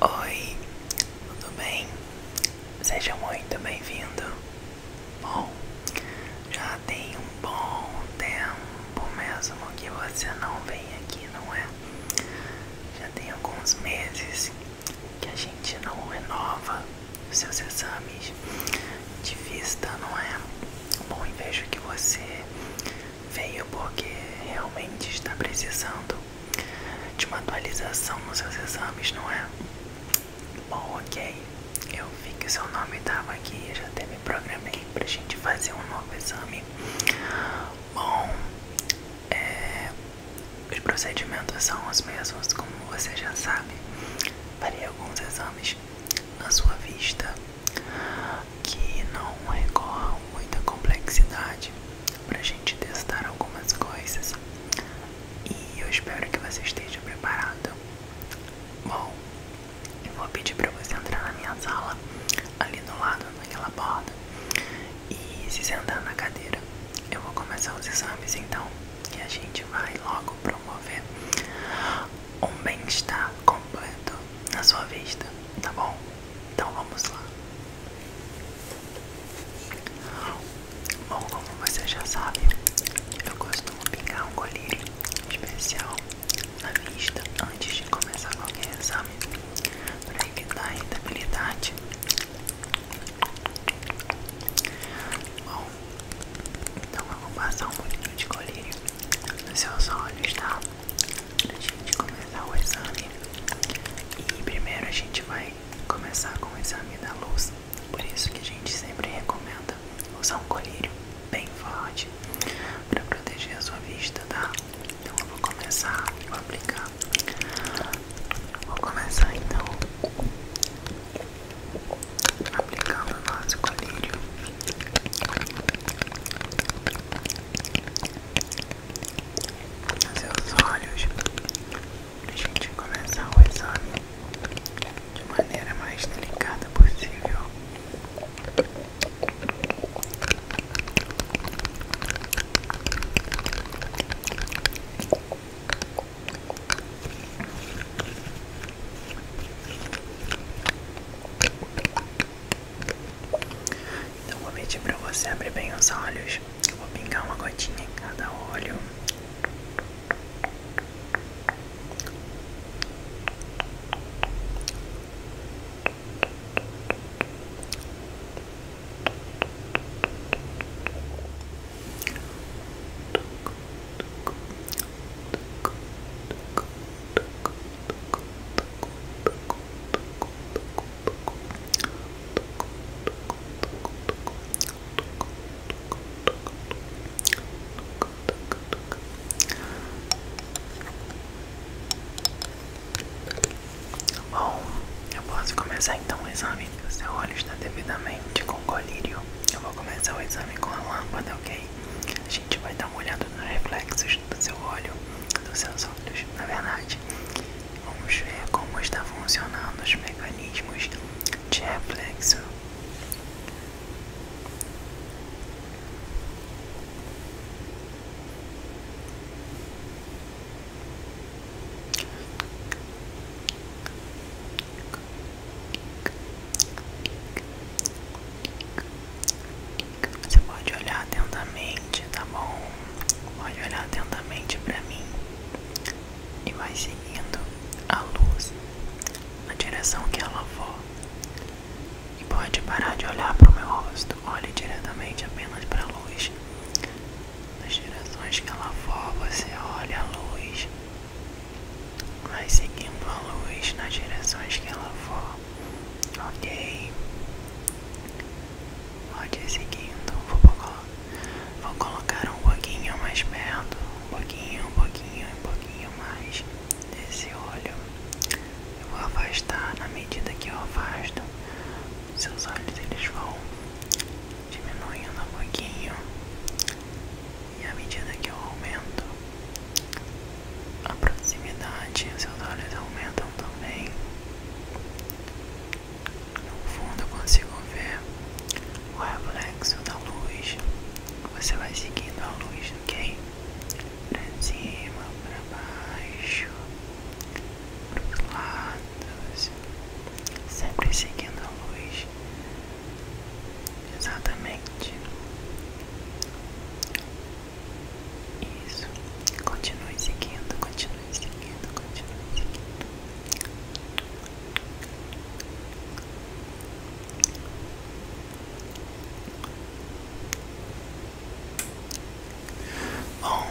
Oi, tudo bem? Seja muito bem-vindo. Bom, já tem um bom tempo mesmo que você não vem aqui, não é? Já tem alguns meses que a gente não renova seus exames de vista, não é? Bom, e vejo que você veio porque realmente está precisando de uma atualização nos seus exames, não é? Bom, ok. Eu vi que seu nome estava aqui, eu já até me programei a gente fazer um novo exame. Bom, é, os procedimentos são os mesmos, como você já sabe. Farei alguns exames na sua vista que não recorram muita complexidade pra gente testar algumas coisas e eu espero que você esteja preparado. Bom, eu vou pedir para você entrar na minha sala, ali do lado, naquela porta e se sentar na cadeira. Eu vou começar os exames então, e a gente vai logo promover um bem-estar completo na sua vista, tá bom? Então vamos lá. Bom, como você já sabe, eu costumo pingar um colírio especial na vista antes de começar qualquer exame para evitar a irritabilidade. Bom, então eu vou passar um pouquinho de colírio nos seus olhos, tá? Para a gente começar o exame. E primeiro a gente vai começar com o exame da luz. Por isso que a gente sempre recomenda usar um colírio bem forte para proteger a sua vista, tá? Então eu vou começar, vou aplicar. Vou começar então aplicando o nosso colírio os seus olhos para a gente começar o exame de maneira mais delicada possível. Então vou pedir para você abrir bem os olhos. Eu vou pingar uma gotinha em cada olho. Bom, eu posso começar então o exame. O seu olho está devidamente com colírio. Eu vou começar o exame com a lâmpada, ok? A gente vai dar uma olhada nos reflexos do seu olho, dos seus olhos, na verdade. Vamos ver como está funcionando os mecanismos de reflexo. Você pode olhar atentamente, tá bom? Pode olhar atentamente para mim e vai seguindo a luz na direção que ela for. E pode parar de olhar para o meu rosto. Olhe diretamente apenas para a luz. Nas direções que ela for, você olha a luz. Vai seguindo a luz nas direções que ela for. Ok? Pode ir seguindo, vou, vou colocar um pouquinho mais perto, um pouquinho, um pouquinho, um pouquinho mais desse olho. Eu vou afastar na medida que eu afasto, seus olhos eles vão diminuindo um pouquinho. E à medida que eu aumento a proximidade, seus olhos aumentam também. No fundo consigo ver o reflexo da luz. Você vai seguindo a luz, ok? Pra cima, pra baixo, pros lados, sempre seguindo a luz. Exatamente. Isso. Continue seguindo, continue continua seguindo, continua seguindo. Bom,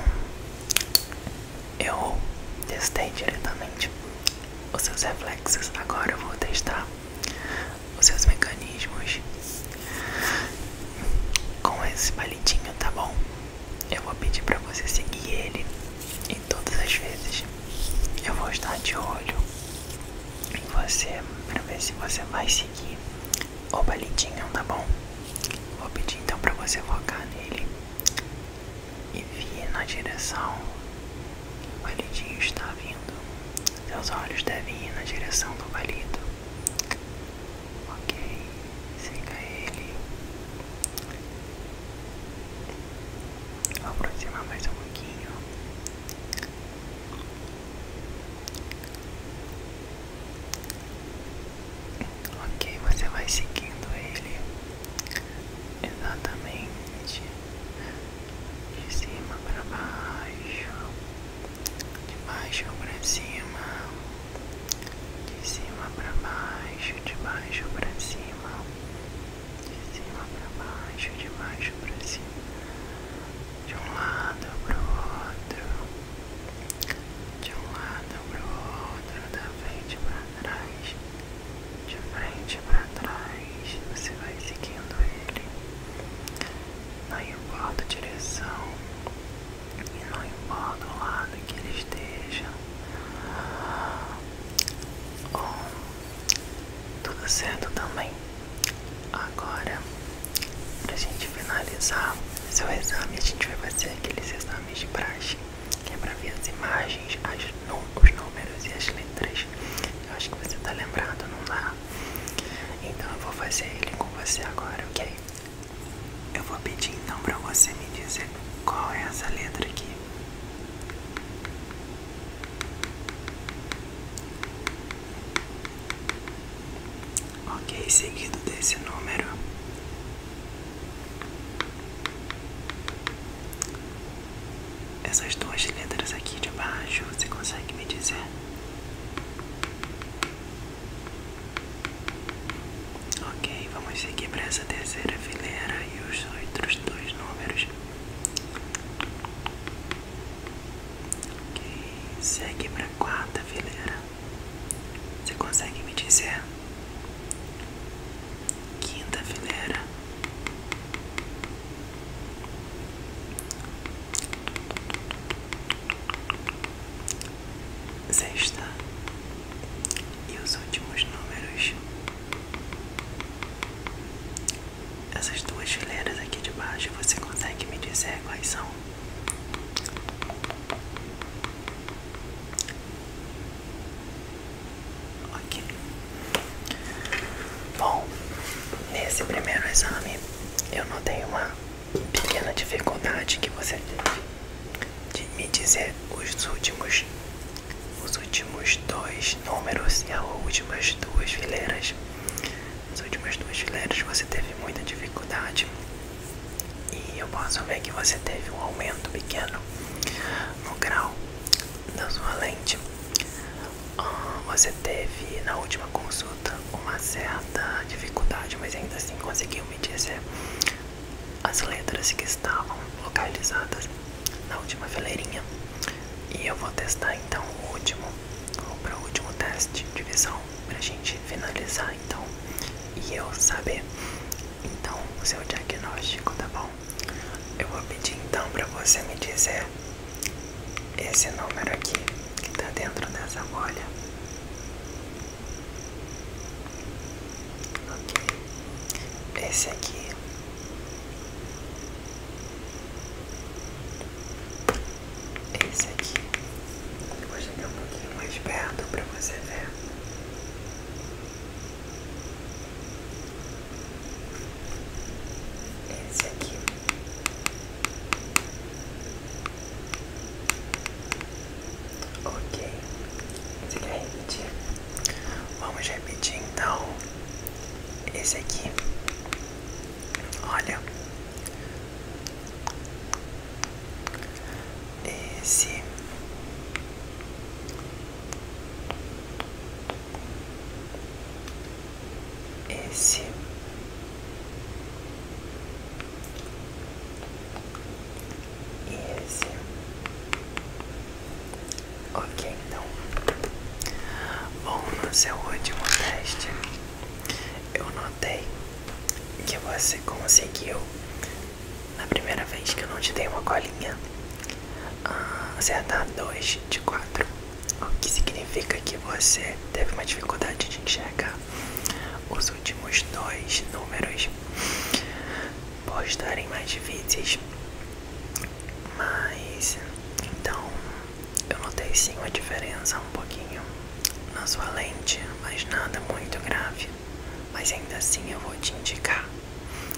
eu testei diretamente os seus reflexos. Agora eu vou testar os seus mecanismos com esse palitinho, tá bom? Eu vou pedir para você seguir ele em todas as vezes. Eu vou estar de olho em você para ver se você vai seguir o balidinho, tá bom? Vou pedir então para você focar nele e vir na direção que o balidinho está vindo. Seus olhos devem ir na direção do balido. Ok siga ele aproximar mais um pouquinho ok você vai seguindo ele exatamente de cima para baixo de baixo para cima de cima para baixo, de baixo para cima, de cima para baixo, de baixo para cima, de um lado para o outro, de um lado para o outro, da frente para trás, de frente para trás, você vai seguindo ele, aí volta a direção. E não importa o lado que ele esteja, tudo certo também. Agora, para gente finalizar seu exame, a gente vai fazer aqueles exames de praxe, que é para ver as imagens, as, os números e as letras. Eu acho que você está lembrado, não dá? Tá? Então eu vou fazer ele com você agora, ok? Eu vou pedir então para você me dizer qual é essa letra aqui. Ok, seguido desse número. Essas duas letras aqui de baixo, você consegue me dizer? Ok, vamos seguir para essa terceira fileira e os outros dois números. Ok, segue para a quarta fileira. Você consegue me dizer? Quinta fileira sexta e os últimos números. Essas duas fileiras aqui de baixo, você consegue me dizer quais são? Ok. Bom, nesse primeiro exame eu notei uma pequena dificuldade que você teve de me dizer os últimos os últimos dois números e as últimas duas fileiras. as últimas duas fileiras você teve muita dificuldade e eu posso ver que você teve um aumento pequeno no grau da sua lente. Ah, você teve na última consulta uma certa dificuldade, mas ainda assim conseguiu me dizer as letras que estavam localizadas na última fileirinha. E eu vou testar então o último, ou para o último teste de visão, para a gente finalizar então e eu saber então o seu diagnóstico, tá bom? Eu vou pedir então para você me dizer esse número aqui que tá dentro dessa bolha. Ok. Esse aqui. Esse aqui. Eu vou chegar um pouquinho mais perto para você ver. Esse aqui. Ok. Você quer repetir? Vamos repetir então. Esse aqui. Olha. Esse. Esse e esse. Ok, então. Bom, no seu último teste, eu notei que você conseguiu, na primeira vez que eu não te dei uma colinha, ah, acertar 2 de 4. O que significa que você teve uma dificuldade de enxergar os últimos dois números postarem mais vídeos, mas então eu notei sim uma diferença um pouquinho na sua lente, mas nada muito grave. Mas ainda assim eu vou te indicar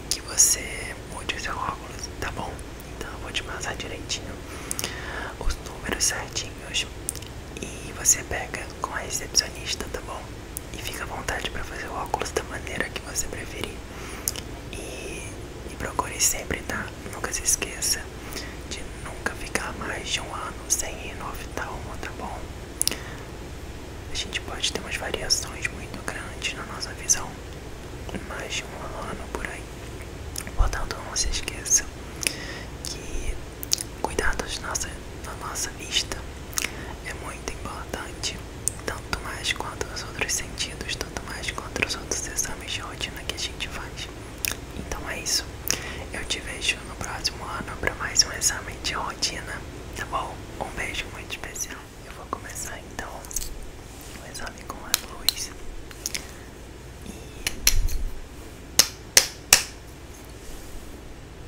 que você mude o seu óculos, tá bom? Então eu vou te passar direitinho os números certinhos e você pega com a recepcionista, tá bom? e fica à vontade para fazer o óculos da maneira que você preferir. E, procure sempre, tá? Nunca se esqueça de nunca ficar mais de um ano sem ir no oftalmo, tá bom? A gente pode ter umas variações muito grandes na nossa visão, mais de um ano por aí. Portanto, não se esqueça que cuidado cuidar das nossas na nossa vista. É muito importante, tanto mais quanto os outros sentidos, tanto mais quanto os outros exames de rotina que a gente faz. Então é isso. Eu te vejo no próximo ano para mais um exame de rotina, tá bom? Um beijo muito especial. Eu vou começar então o exame com a luz e